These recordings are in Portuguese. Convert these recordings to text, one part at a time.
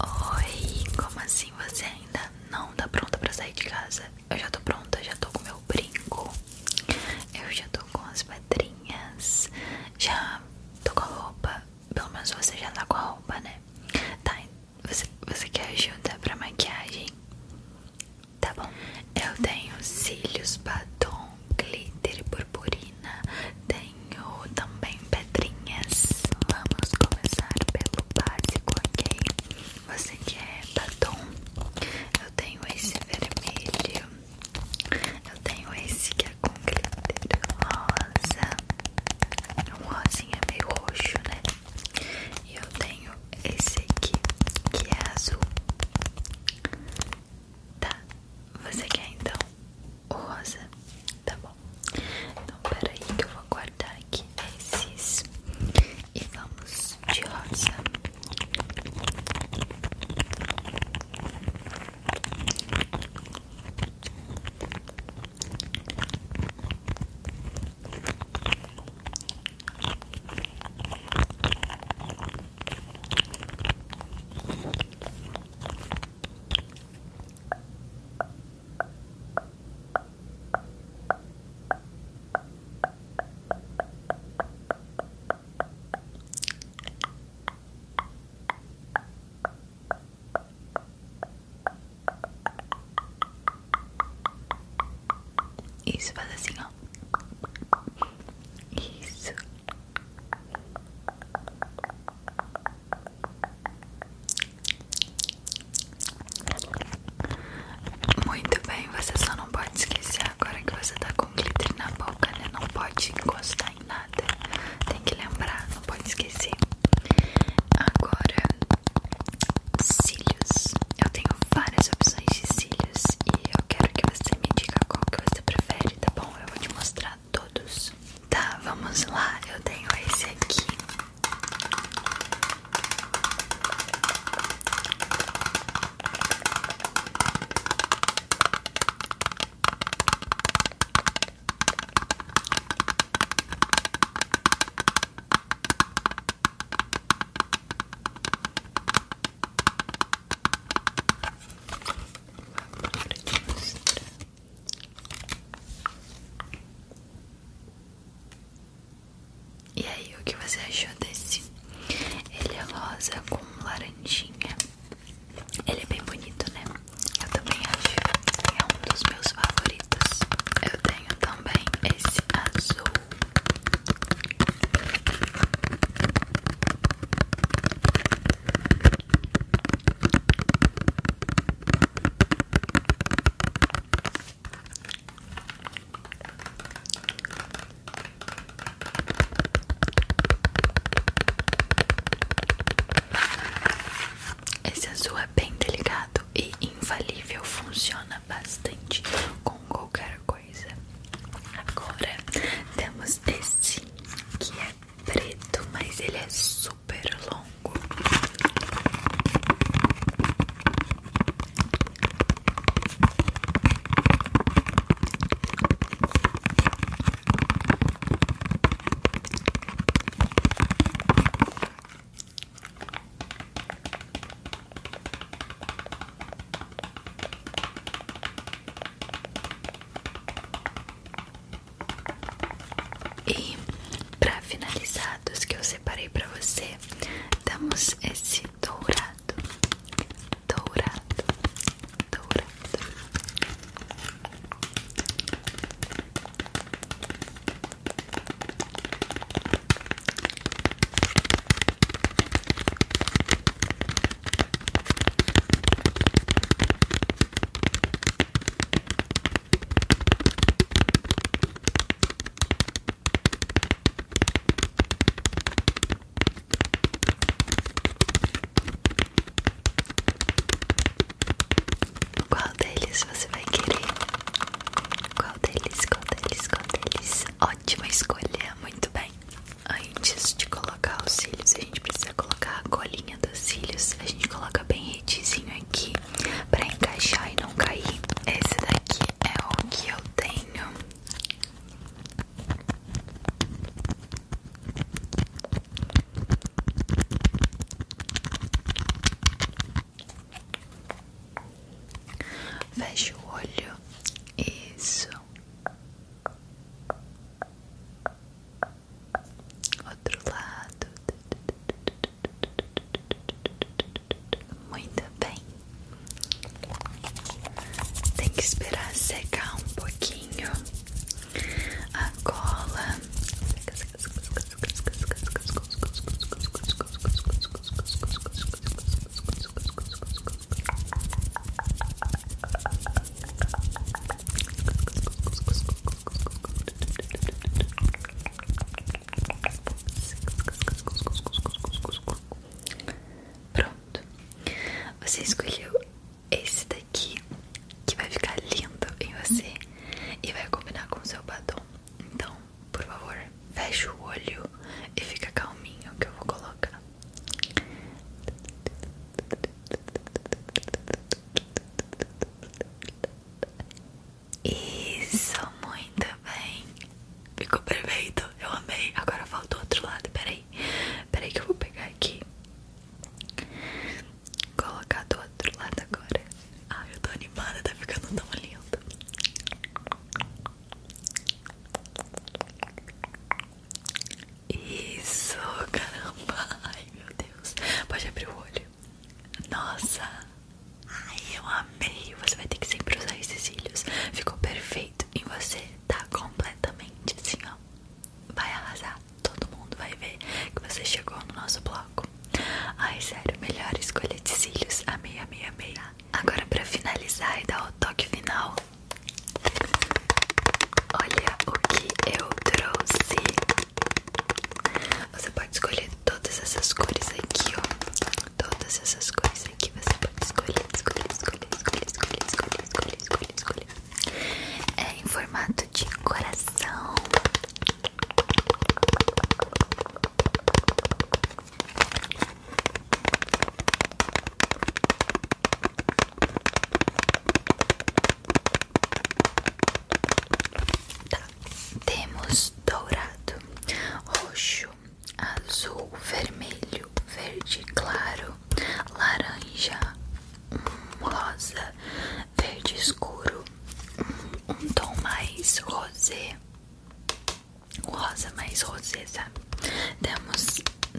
Oi, como assim você ainda não tá pronta pra sair de casa? Eu já tô pronta, já tô com meu brinco, eu já tô com as pedrinhas, já tô com a roupa, pelo menos você já tá com a roupa, né? Tá, você, quer ajuda pra maquiagem? Tá bom, eu tenho cílios, batom, glitter e purpurina, tenho tenho também pedrinhas. Vamos começar pelo básico, ok? Você quer é batom? Eu tenho esse vermelho. Eu tenho esse que é com glitter rosa. Um rosinha é meio roxo, né? E eu tenho esse aqui, que é azul. Tá, você quer então o rosa, tá bom? Então peraí que eu vou guardar aqui esses e vamos de rosa. Isso, faz assim, Isso. Muito bem, você só não pode esquecer agora que você tá com glitter na boca, né? Não pode encostar em nada. Tem que lembrar, não pode esquecer. Agora, cílios. Eu tenho várias opções de cílios e eu quero que você me diga qual que você prefere, tá bom? Eu vou te mostrar todos. Tá, vamos lá. Eu tenho esse aqui. Vou mostrar. E aí, o que você achou desse? Ele é rosa com laranjinha. Ele é bem bonito, né? Eu também acho. É um dos meus favoritos. Eu tenho também esse azul. Esse azul é bem delicado e infalível, funciona bastante com qualquer coisa. Agora temos esse que é preto, mas ele é super longo. E para finalizados que eu separei para você, damos esse dourado, dourado, dourado. Qual deles você vai querer? Qual deles? Qual deles? Qual deles? Ótima escolha, muito bem. Antes de colocar os cílios, a gente precisa colocar a colinha dos cílios. A gente coloca bem retizinho aqui pra encaixar e não cair. Esse daqui é o que eu tenho. Fecha o olho. Isso. Outro lado. Muito bem. Tem que esperar secar um pouquinho a cola. Pronto, você escolheu esse daqui que vai ficar lindo em você e vai combinar com o seu batom. Então, por favor, fecha o olho e fica calminho que eu vou colocar. Isso, muito bem. Ficou perfeito, eu amei. Agora falta o outro lado, peraí. Peraí que eu vou pegar aqui. Colocar do outro lado agora. Ai, ah, eu tô animada, tá ficando tão lindo. Isso, caramba. Ai, meu Deus. Pode abrir o olho. Nossa. Ai, eu amei. Você vai ter que sempre usar esses cílios. Ficou perfeito em você. Tá completamente assim, ó. Vai arrasar. Todo mundo vai ver que você chegou no nosso bloco. Ai, sério, melhor escolha de cílios. Amei, amei, amei. Agora, pra finalizar e dar o toque final, Olha o que eu trouxe. Você pode escolher todas essas cores aqui, ó. Todas essas cores aqui você pode escolher, escolher, escolher, escolher, escolher, escolher, escolher, escolher, escolher. É em formato de coração. Temos dourado, roxo, azul, vermelho, verde claro, laranja, hum, rosa, verde escuro, hum, um, tom mais rosé, o rosa mais rosé, sabe? Temos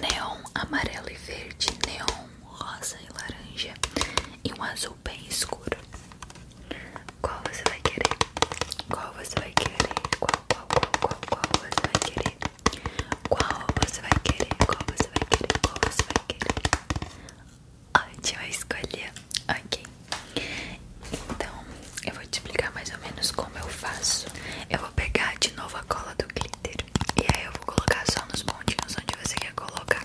neon, amarelo e verde, neon, rosa e laranja e um azul bem escuro. Qual você vai querer? Qual você vai querer? Qual, qual, qual, qual, qual você vai querer? Qual você vai querer? Qual você vai querer? Qual você vai querer? Ótima escolha, ok. Então, eu vou te explicar mais ou menos como eu faço. Eu vou vou pegar de novo a cola do glitter E aí eu vou colocar só nos pontinhos onde você quer colocar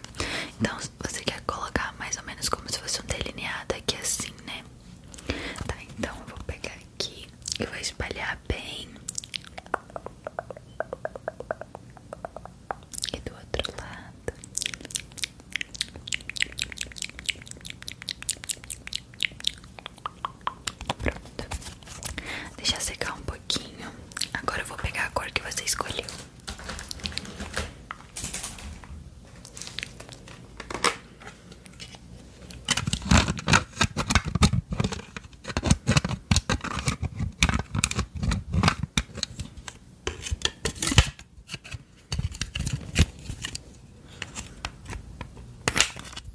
Então você quer colocar mais ou menos como se fosse um delineado aqui assim, né? Tá, então eu vou pegar aqui e vou espalhar bem E do outro lado Pronto. Deixa secar um pouquinho. Agora eu vou pegar a cor que você escolheu.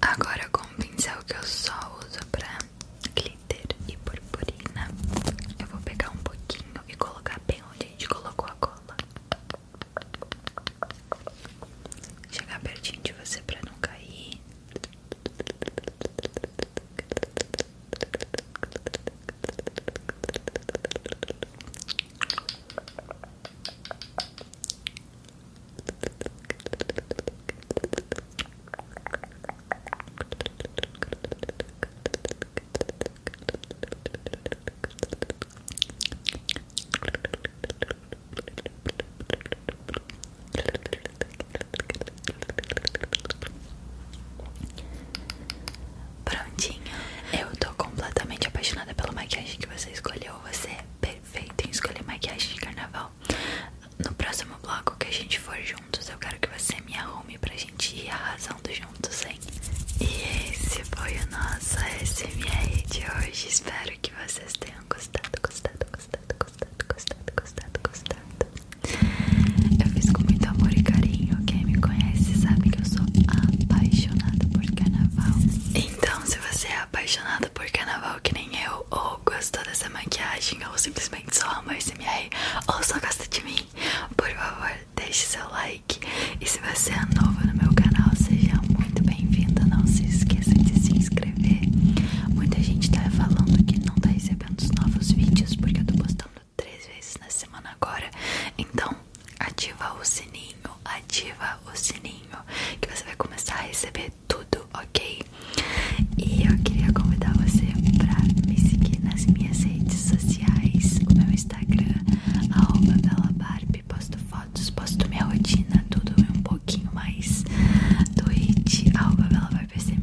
Agora com o pincel que eu só uso pra glitter e purpurina, eu vou pegar um pouquinho e colocar bem onde a gente colocou a cola. Chegar pertinho de você pra não cair. Prontinho, eu estou completamente apaixonada pelo maquiagem que você escolheu achou você perfeito em escolher maquiagem de carnaval. No próximo bloco que a gente for juntos, eu quero que você me arrume pra gente ir arrasando juntos, hein? E esse foi o nosso SMR de hoje. Espero que vocês tenham gostado, gostado, gostado, gostado, gostado, gostado, gostado. Eu fiz com muito amor e carinho. Quem me conhece sabe que eu sou apaixonada por carnaval. E então, se você é apaixonado por carnaval que nem eu, ou gostou dessa maquiagem, ou simplesmente só ama SMR, ou só gosta de mim, por favor, deixe seu like. E se você é novo no meu canal, seja muito bem-vindo. Não se esqueça de se inscrever. Muita gente tá falando que não tá recebendo os novos vídeos porque eu tô postando três vezes na semana agora. Então, ativa o sininho, ativa o sininho, que você vai começar a receber tudo, ok? E eu queria convidar você pra me seguir nas minhas redes sociais, o meu Instagram, arroba bellabarbie, posto fotos, posto minha rotina, tudo e um pouquinho mais, Twitch, arroba bellabarbiesmr,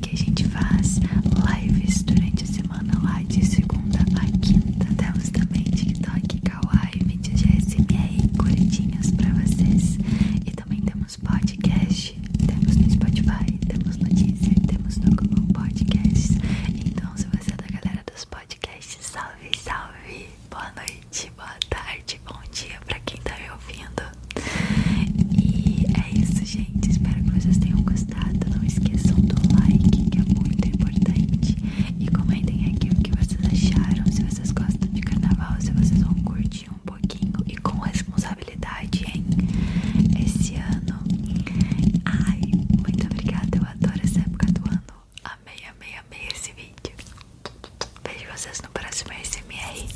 que a gente faz lives durante a semana lá de segunda a quinta, temos também TikTok, Kik vídeos de SMR curtinhos pra vocês. E também temos podcast, temos no Spotify, temos no Deezer, temos no Google Podcasts. Então, se você é da galera dos podcasts, salve, salve! Boa noite, boa tarde, bom dia pra quem tá me ouvindo. E é isso, gente. Espero que vocês tenham gostado. Não esqueçam do like, que é muito importante. E comentem aqui o que vocês acharam, se vocês gostam de carnaval, se vocês vão curtir um pouquinho e com responsabilidade, hein? Esse ano. Ai, muito obrigada, eu adoro essa época do ano. Amei, amei, amei esse vídeo. Vejo vocês no próximo SMR.